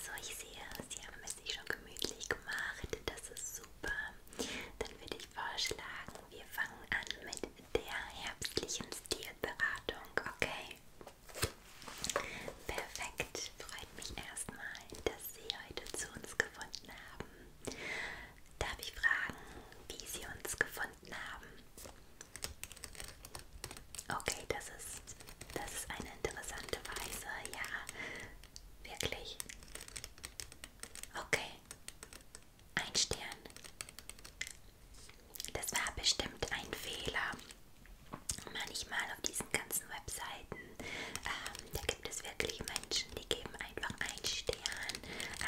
So, ich sehe, Sie haben es sich schon gemütlich gemacht. Das ist super. Dann würde ich vorschlagen, wir fangen an mit der herbstlichen Stilberatung, okay? Perfekt. Freut mich erstmal, dass Sie heute zu uns gefunden haben. Darf ich fragen, wie Sie uns gefunden haben? Okay, das ist ist. Das ist eine interessante Weise, ja. Wirklich. Okay. Ein Stern. Das war bestimmt ein Fehler. Manchmal auf diesen ganzen Webseiten, ähm, da gibt es wirklich Menschen, die geben einfach einen Stern,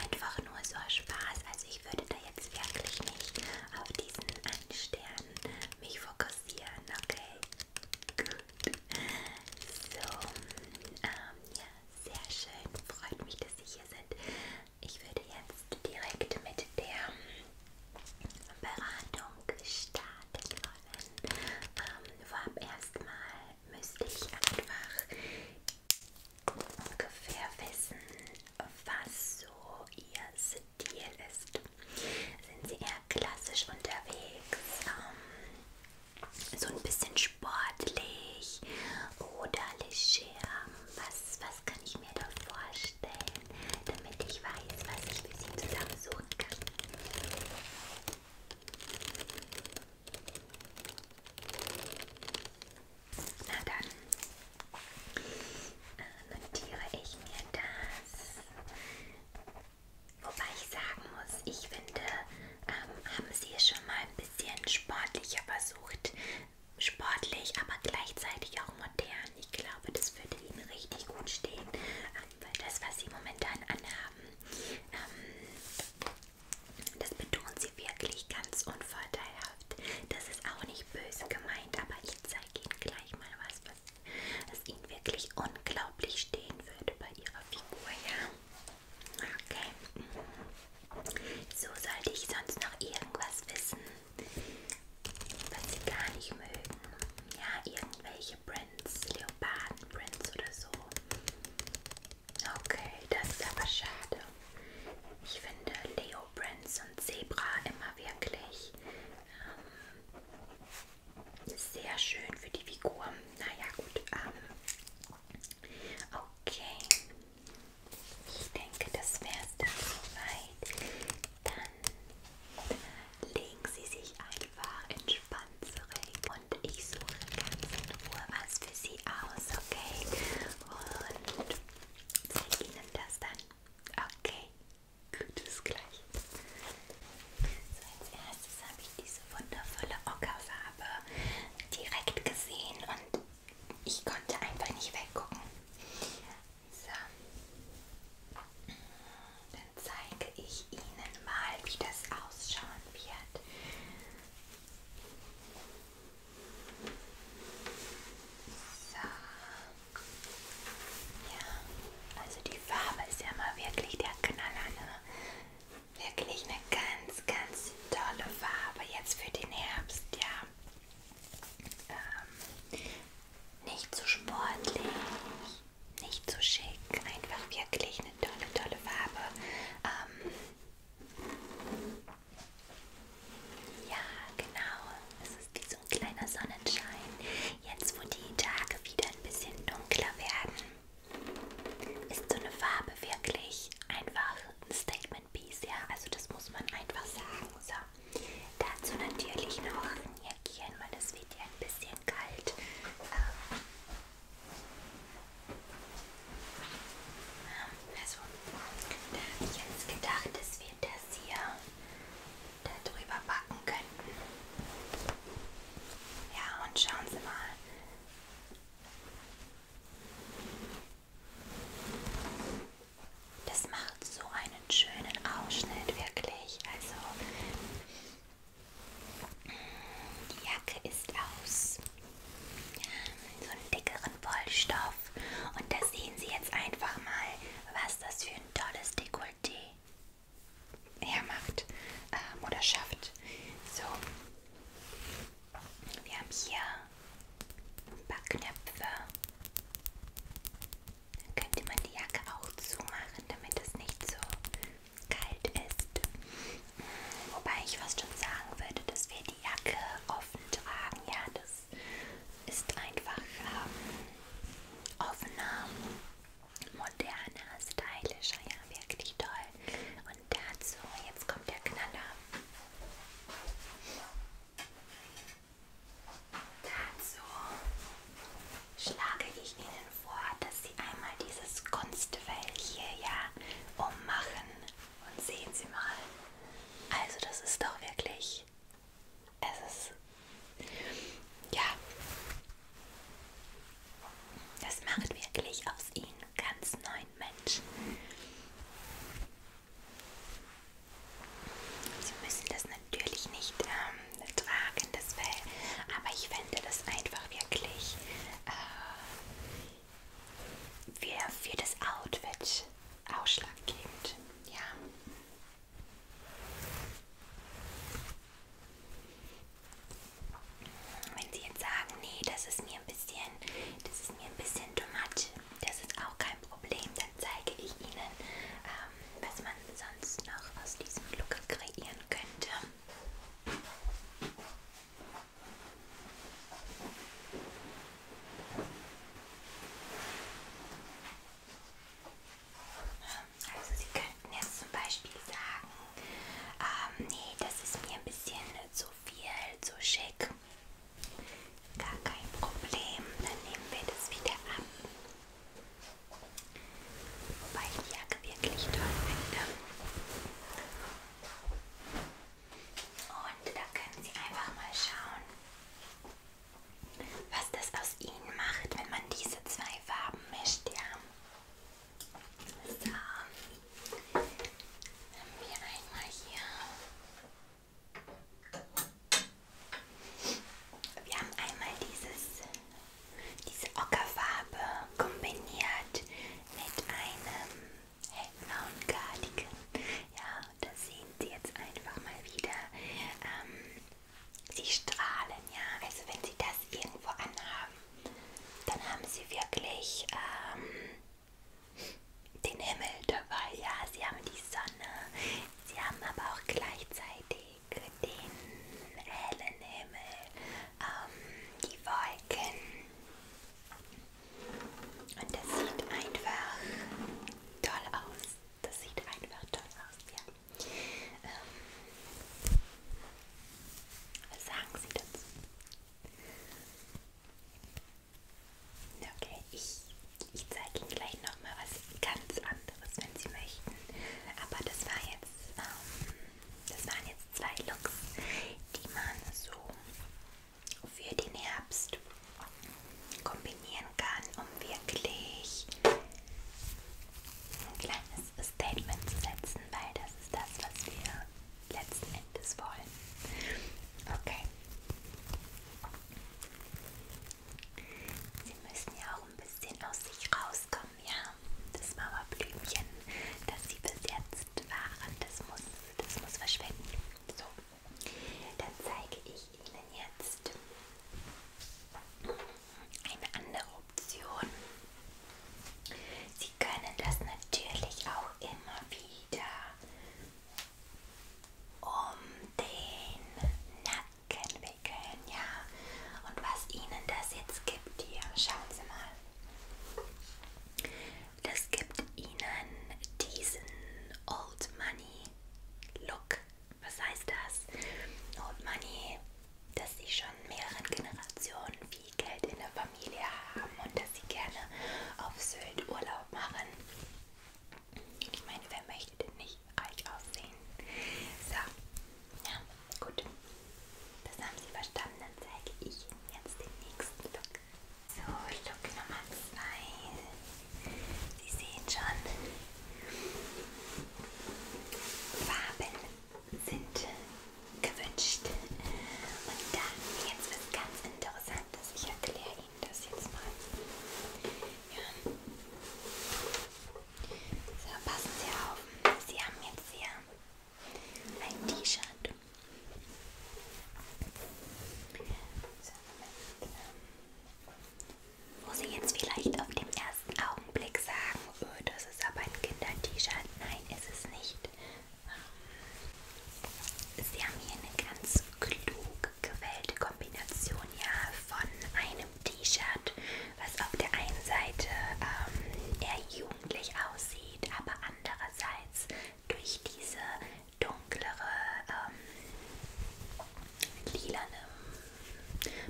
einfach nur so Spaß. Also ich würde da jetzt wirklich nicht auf diesen einen Stern mich fokussieren rasieren, okay? Gut. So, ähm, ja, sehr schön. Freut mich, dass Sie hier sind. Ich würde jetzt direkt mit der Beratung starten wollen. Ähm, vorab erstmal müsste ich einfach ungefähr wissen, was so Ihr Stil ist. Sind sie eher klassisch unterwegs, ähm, so ein bisschen sportlich oder leger? Was, was kann ich mir da vorstellen, damit ich weiß, was ich für sie zusammensuchen kann? Na dann äh, notiere ich mir das. Wobei ich sagen muss, ich finde, ähm, haben sie es schon mal ein bisschen sportlicher versucht. Sportlich, aber gleichzeitig auch modern. Ich glaube, das würde ihnen richtig gut stehen, ähm, weil das, was sie momentan anhaben, ähm, das betonen sie wirklich ganz unvorteilhaft. Das ist auch nicht böse gemeint, aber ich zeige ihnen gleich mal was, es Ihnen wirklich unglaublich stehen würde bei Ihrer Figur, ja? Okay. Mhm. So sollte ich sonst noch irgendwas wissen, was Sie gar nicht mögen. Ja, irgendwelche Prints, Leoparden-Prints oder so. Okay, das ist aber schade. Ich finde Leo Prints und Zebra immer wirklich ähm, sehr schön für die Figur. Naja, gut. Ähm, okay. Ich denke, das wäre es dann soweit. Dann äh, legen Sie sich einfach entspannt zurecht und ich suche ganz in Ruhe was für Sie aus, okay? Und zeige Ihnen das dann. Okay, Gut, bis gleich. So, als erstes habe ich diese wundervolle Ockerfarbe direkt gesehen und ich konnte einfach nicht weggucken. So. Dann zeige ich Ihnen mal, wie das ausschauen wird. So. Ja, also die Farbe ist ja mal wirklich der Knaller, ne? Wirklich eine ganz, ganz tolle Farbe jetzt für den Herbst, ja. Ähm, nicht zu so sportlich, nicht zu so schick, einfach wirklich eine tolle, tolle Farbe. Ähm, ja, genau. Es ist wie so ein kleiner Sonnenschein. Jetzt, wo die Tage wieder ein bisschen dunkler werden, ist so eine Farbe wirklich einfach ein Statement Piece, ja. Also das muss man einfach sagen. So, dazu natürlich noch ein Jäckchen, weil es wird ja ein bisschen kalt. Ähm, also, da habe ich jetzt gedacht, dass wir das hier da drüber backen könnten. Ja, und schauen Sie mal. Das macht so einen schönen Ausschnitt, wirklich. Also, die Jacke ist aus so einem dickeren Wollstoff. Und da sehen Sie jetzt einfach mal, was das für ein tolles Dekolleté hermacht ähm, oder schafft. So, wir haben hier ein paar Knöpfe. Dann könnte man die Jacke auch zumachen, damit es nicht so kalt ist. Wobei ich fast schon sagen würde, dass wir die Jacke offen tragen. Ja, das ist einfach ähm, offener moderner, stylischer, ja, wirklich toll. Und dazu, jetzt kommt der Knaller. Dazu schlage ich Ihnen vor, dass Sie einmal dieses Kunstfell hier ja ummachen. Und sehen Sie mal, also das ist doch wirklich es ist ja, das macht wirklich aus ihnen ganz neuen Menschen. Sie müssen das natürlich nicht ähm, tragen, das Fell, aber ich fände das einfach wirklich äh, für, für das Outfit ausschlaggebend. Ja. Wenn Sie jetzt sagen, nee, das ist mir ein bisschen, das ist mir ein bisschen too much, das ist auch kein Problem, dann zeige ich Ihnen, ähm, was man sonst noch aus diesem Look kreieren könnte. Also Sie könnten jetzt zum Beispiel sagen, ähm, nee, das ist mir ein bisschen zu viel, zu schick. Gar kein Problem, dann nehmen wir das wieder ab. Wobei ich die Jacke wirklich toll finde. Und da können Sie einfach mal schauen, was das aus Ihnen macht, wenn man diese zwei Farben gemischt, ja. So. Haben wir einmal hier. Wir haben einmal dieses, diese Ockerfarbe kombiniert mit einem hellblauen Cardigan. Ja, das sehen Sie jetzt einfach mal wieder. Ähm, Sie strahlen, ja. Also wenn Sie das irgendwo anhaben, dann haben Sie wirklich ähm, den Himmel dabei, ja. Sie haben die Sonne, Sie haben aber auch gleichzeitig den hellen Himmel, ähm, die Wolken. Und das sieht einfach toll aus. Das sieht einfach toll aus, ja. Ähm, was sagen Sie dazu? Okay, ich, ich zeige Ihnen gleich nochmal was ganz anderes, wenn Sie möchten. Aber das war jetzt, ähm, das waren jetzt zwei Looks, die man so für den Herbst kombinieren kann, um wirklich ein kleines Statement zu setzen, weil das ist das, was wir letzten Endes wollen. Okay. Sie müssen ja auch ein bisschen aus sich rauskommen, ja? Das Mauerblümchen, das Sie bis jetzt waren, das muss, das muss verschwinden. So, dann zeige ich Ihnen jetzt eine andere Option. Sie können das natürlich auch immer wieder um den Nacken wickeln, ja. Und was Ihnen das jetzt gibt hier, schauen Sie mal. Das gibt Ihnen diesen Old Money Look. Was heißt das? Old Money dass sie schon mehreren Generationen viel Geld in der Familie haben und dass sie gerne auf Sylt Urlaub machen. Ich meine, wer möchte denn nicht reich aussehen? So, ja, gut. Das haben Sie verstanden. Dann zeige ich Ihnen jetzt den nächsten Look. So, Look Nummer 2. Sie sehen schon Farben sind gewünscht. Und dann jetzt was ganz Interessantes. Ich erkläre Ihnen das jetzt mal. Ja. So, passen Sie auf. Sie haben jetzt hier ein T-Shirt. So, ähm, wo Sie jetzt vielleicht auf dem ersten ersten Augenblick sagen, öh, das ist aber ein Kinder-T-Shirt. Nein, ist es nicht. Sie haben hier eine ganz klug gewählte Kombination ja, von einem T-Shirt, was auf der einen Seite ähm, eher jugendlich aussieht, aber andererseits durch diese dunklere, ähm, lilane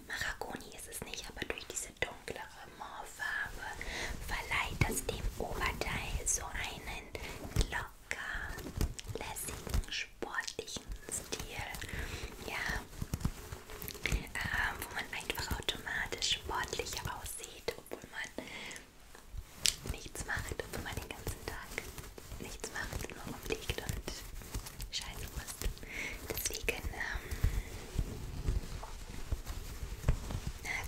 Maragoni ist es nicht, aber durch diese dunklere Moorfarbe verleiht das dem Oberteil so einen locker, lässigen, sportlichen Stil. Ja, äh, wo man einfach automatisch sportlich aussieht, obwohl man nichts macht, obwohl man den ganzen Tag nichts macht, nur rumliegt und scheiße musst. Deswegen ähm,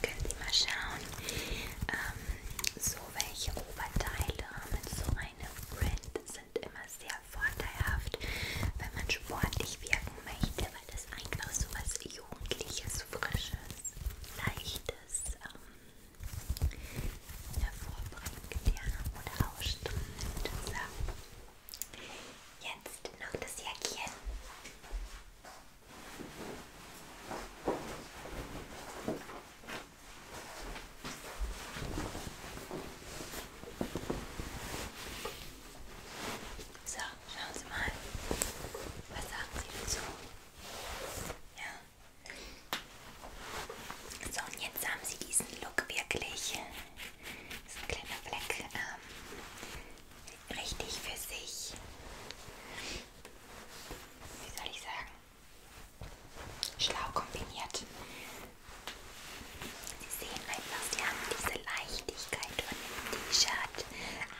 können Sie mal schauen, ähm, so welche Oberteile mit so einem Brand sind immer sehr vorteilhaft, wenn man sportlich wirken möchte, weil das einfach so was Jugendliches, Frisches, Leichtes ähm, hervorbringt ja, oder ausstrahlt. So. Jetzt noch das Jäckchen. So, schauen Sie mal. Was sagen Sie dazu? Ja. So, und jetzt haben Sie diesen Look wirklich. Das ist ein kleiner Fleck ähm, richtig für sich, wie soll ich sagen, schlau kombiniert. Sie sehen einfach, sie haben diese Leichtigkeit von dem T-Shirt,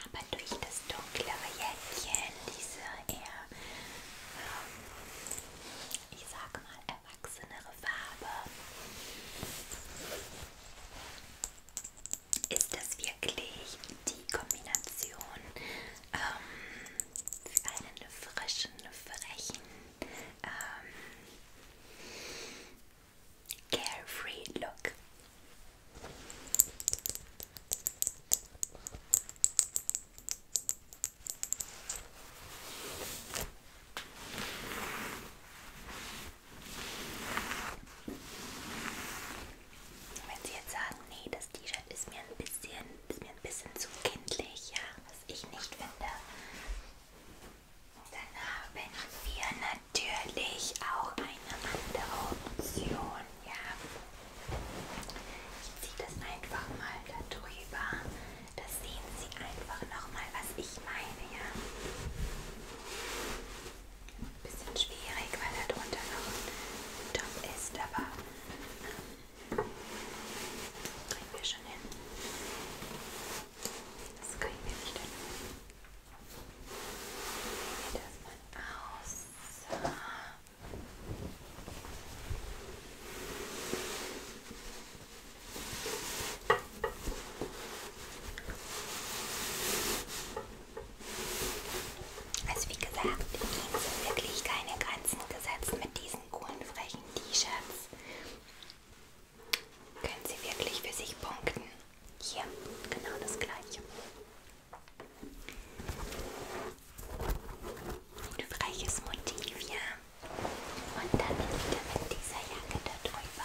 aber durch das dunklere Jäckchen, diese eher, ähm, ich sag mal, erwachsenere Farbe ist das wirklich die Kombination ähm, für einen frischen, frechen, ähm, carefree Look. Wenn Sie jetzt sagen, nee, das T-Shirt ist mir ein bisschen, ist mir ein bisschen zu kindlich, ja, was ich nicht finde, dann haben wir natürlich auch eine andere Option, ja. Ich ziehe das einfach mal da drüber. Das sehen Sie einfach nochmal, was ich meine, ja. Ein bisschen schwierig, weil da drunter noch ein Top ist, aber ähm, kriegen wir schon hin. Das kriegen wir nicht hin. Wie sieht das mal aus? So. Also wie gesagt, ihnen sind wirklich keine Grenzen gesetzt mit diesen coolen, frechen T-Shirts. Können sie wirklich für sich punkten. Hier, genau das gleiche. Ein freches Motiv, ja. Und dann wieder mit dieser Jacke darüber.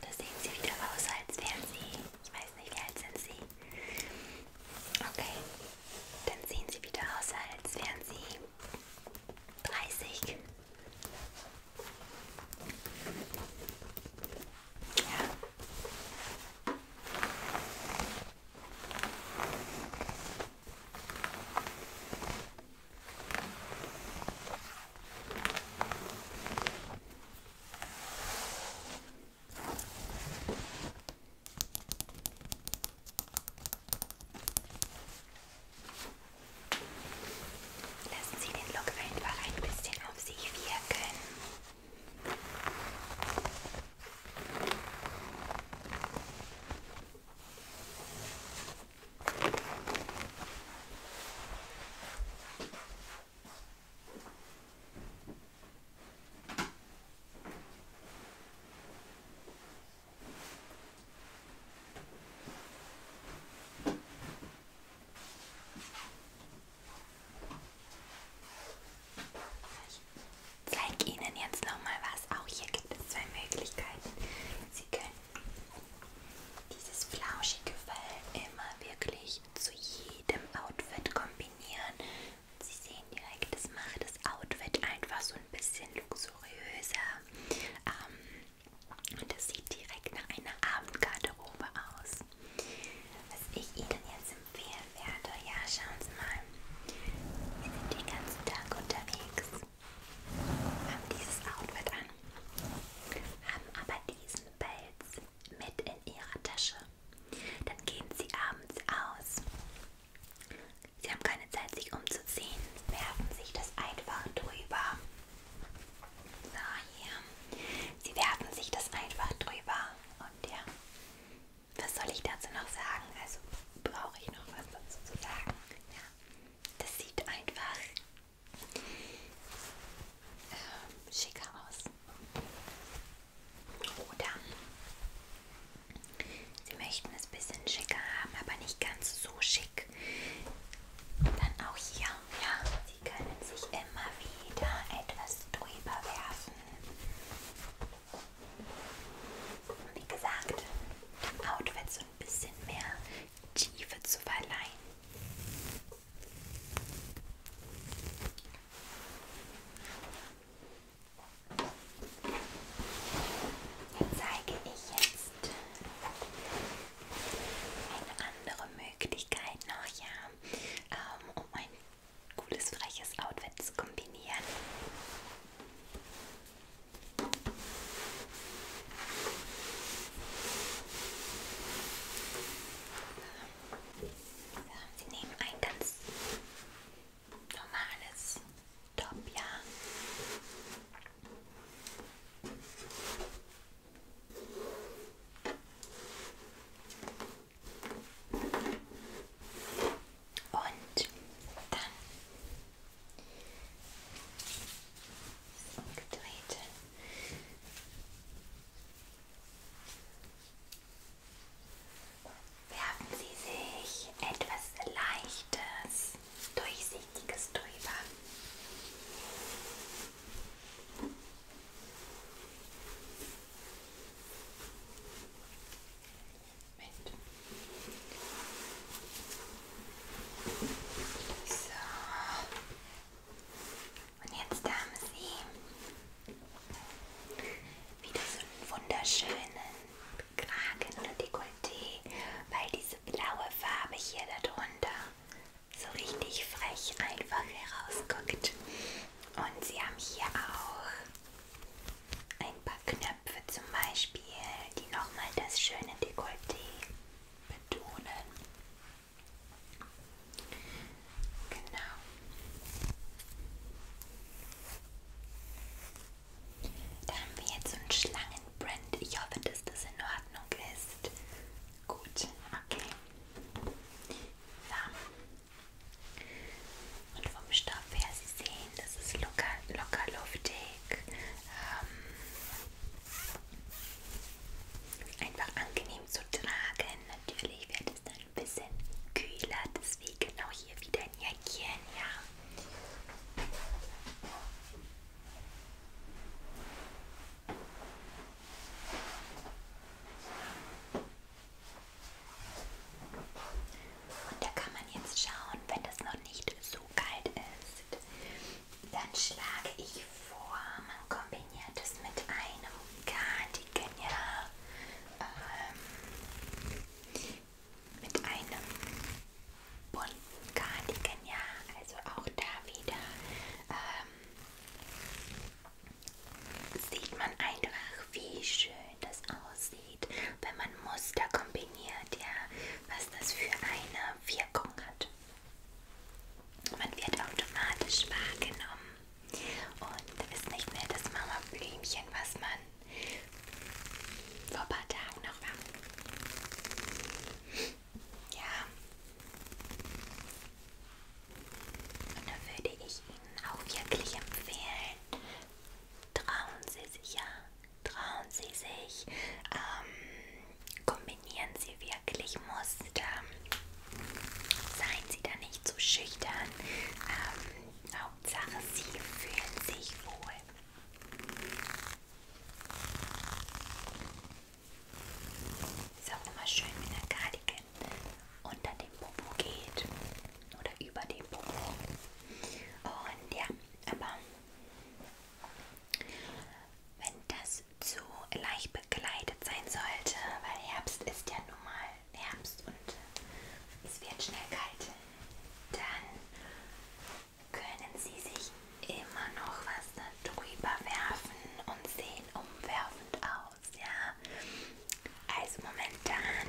Da sehen sie wieder aus, als wären sie, ich weiß nicht, wie alt sind sie. Okay, dann sehen sie wieder aus, als wären sie 30. Ja. Lassen Sie den Look einfach ein bisschen auf sich wirken. Ich zeige Ihnen jetzt nochmal was. Auch hier gibt es zwei Möglichkeiten. Sie können dieses flauschige Fell immer wirklich wirklich zu jedem Outfit kombinieren. Und Sie sehen direkt, das macht das Outfit einfach so ein bisschen luxuriöser. Ähm, und das sieht direkt nach einer Abendgarderobe aus. Was ich Ihnen jetzt empfehlen werde, ja, schauen Sie mal. Wir sind den ganzen Tag unterwegs, haben dieses Outfit an, haben aber diesen Pelz mit in ihrer Tasche. Dann gehen sie abends aus. Sie haben keine Zeit, sich umzuziehen, werfen sich das einfach drüber. So, hier. Sie werfen sich das einfach drüber. Und ja, was soll ich dazu noch sagen? Also brauche ich noch was dazu zu sagen. Ja, das sieht einfach äh, schicker aus. Oder Sie möchten es ein bisschen schicker haben, aber nicht ganz so schick. Dann auch hier, ja, Sie können sich immer wieder etwas drüber werfen. Wie gesagt, dem Outfit so ein bisschen mehr Tiefe zu verleihen. Dann zeige ich jetzt eine andere Möglichkeit noch, ja, ähm, um ein cooles, freches Outfit zu kombinieren. Ja, sie nehmen ein ganz normales Top, ja. Und dann umgedreht Werfen Sie sich etwas Leichtes, Durchsichtiges drüber. Moment. So. Und jetzt haben Sie wieder so einen wunderschönen Kragen und Dekolleté, weil diese blaue Farbe hier darunter so richtig frech einfach herausguckt. Und Sie haben hier auch ein paar Knöpfe zum Beispiel, die nochmal das schöne Dekolleté betonen. Genau. Da haben wir jetzt so einen Schlangenbrand. Ich hoffe, dass das in Ordnung ist. Gut, okay. So. Und vom Stoff her, Sie sehen, das ist locker, locker luftig. Ähm, einfach angenehm zu tragen. Natürlich wird es dann ein bisschen kühler, deswegen auch genau hier wieder ein Jäckchen, ja. Und da kann man jetzt schauen, wenn das noch nicht so kalt ist, dann schlage ich vor, man kombiniert kombiniert es mit einem Cardigan, ja. Ähm, mit einem bunten Cardigan, ja. Also auch da wieder ähm, sieht man einfach, wie schön das aussieht, wenn man Muster kombiniert, ja. Was das für eine Wirkung hat. Man wird automatisch wahrgenommen und ist nicht mehr das Mama Blümchen, was man vor ein paar Tagen noch war. Ja. Und da würde ich Ihnen auch wirklich empfehlen, trauen Sie sich ja, trauen Sie sich, ähm, kombinieren Sie sie wirklich musste. Ähm, seien Sie da nicht zu so schüchtern. Ähm, Hauptsache, Sie fühlen sich wohl. Ist auch immer schön, wenn der Cardigan unter dem Popo geht oder über dem Popo. Und ja, aber wenn das so leicht begleitet sein sollte, weil Herbst ist ja nun mal Herbst und äh, es wird schnell kalt. Dann können Sie sich immer noch was darüber werfen und sehen umwerfend aus, ja. Also momentan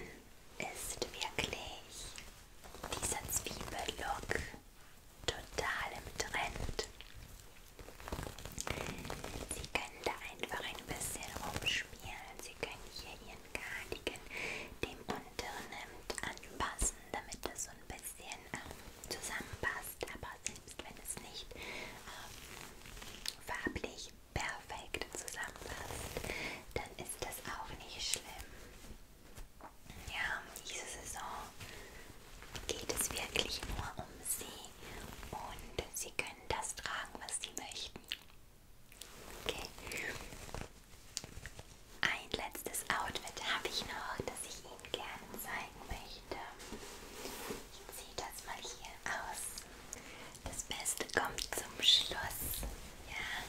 ist wirklich dieser Zwiebellook total im Trend. Sie können da einfach ein bisschen rumspielen. Sie können hier Ihren Cardigan dem unteren Hemd anpassen, damit das so ein bisschen äh, zusammenpasst. Aber selbst wenn es nicht äh, farblich perfekt zusammenpasst, dann ist das auch nicht schlimm. Ja, diese Saison geht es wirklich nur um Sie und Sie können das tragen, was Sie möchten. Okay. Ein letztes Outfit habe ich noch, das ich Ihnen gerne zeigen möchte. Ich ziehe das mal hier aus. Das Beste kommt zum Schluss. Ja.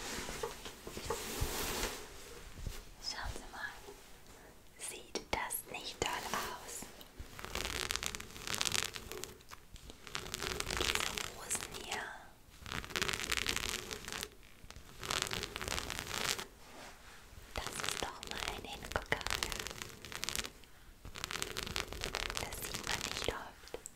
So. Schauen Sie mal. Sieht das nicht toll aus? Diese Rosen hier. Das ist doch mal ein Hingucker. Das sieht man nicht oft.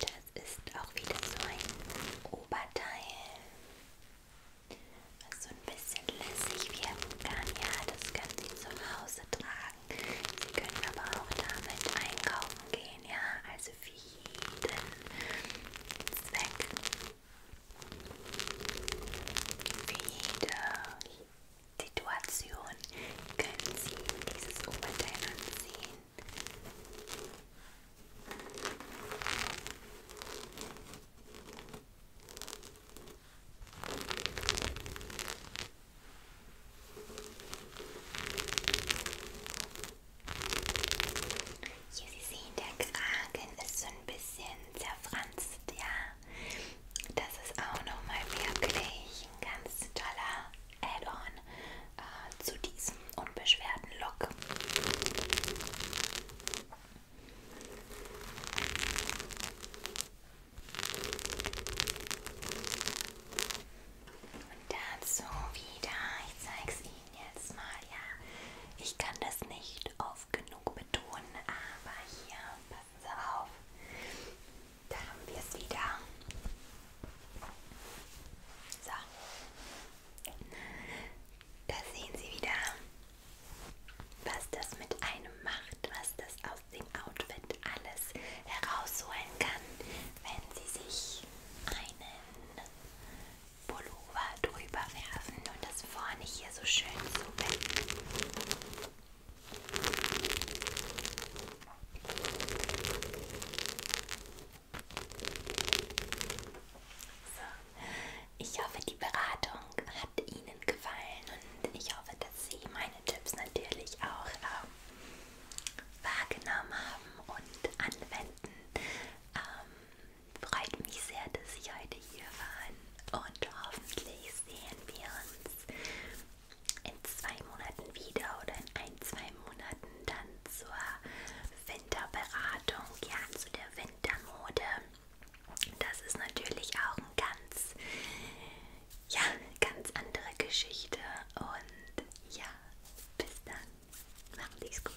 Das ist auch wieder so ein Oberteil, was so ein bisschen lässig wirken kann. Ja, das können Sie zu Hause tragen. Sie können aber auch damit einkaufen gehen, ja, also für jeden Zweck für jede Situation können Sie dieses Oberteil anziehen. Hier, Sie sehen, der Kragen ist so ein bisschen zerfranst, ja. Das ist auch nochmal wirklich ein ganz toller Add-on äh, zu diesem unbeschwerten Look. Und dazu wieder, ich zeige es Ihnen jetzt mal, ja, ich kann das nicht auf oft genug betonen, aber hier, passen Sie auf, da haben wir es wieder. So, da sehen Sie wieder, was das mit einem macht, was das aus dem Outfit alles herausholen kann, wenn Sie sich einen Pullover drüber werfen und das vorne hier so schön zu binden. So, ich hoffe, die Beratung hat Ihnen gefallen und ich hoffe, dass Sie meine Tipps natürlich auch ähm, wahrgenommen haben und anwenden. Ähm, Freut mich sehr, dass Sie heute hier waren und hoffentlich sehen wir uns in zwei Monaten wieder oder in ein, zwei Monaten dann zur Winterberatung, ja, zu der Wintermode. Das ist natürlich auch ein ganz, ja, ganz andere Geschichte und ja, bis dann. Macht es gut.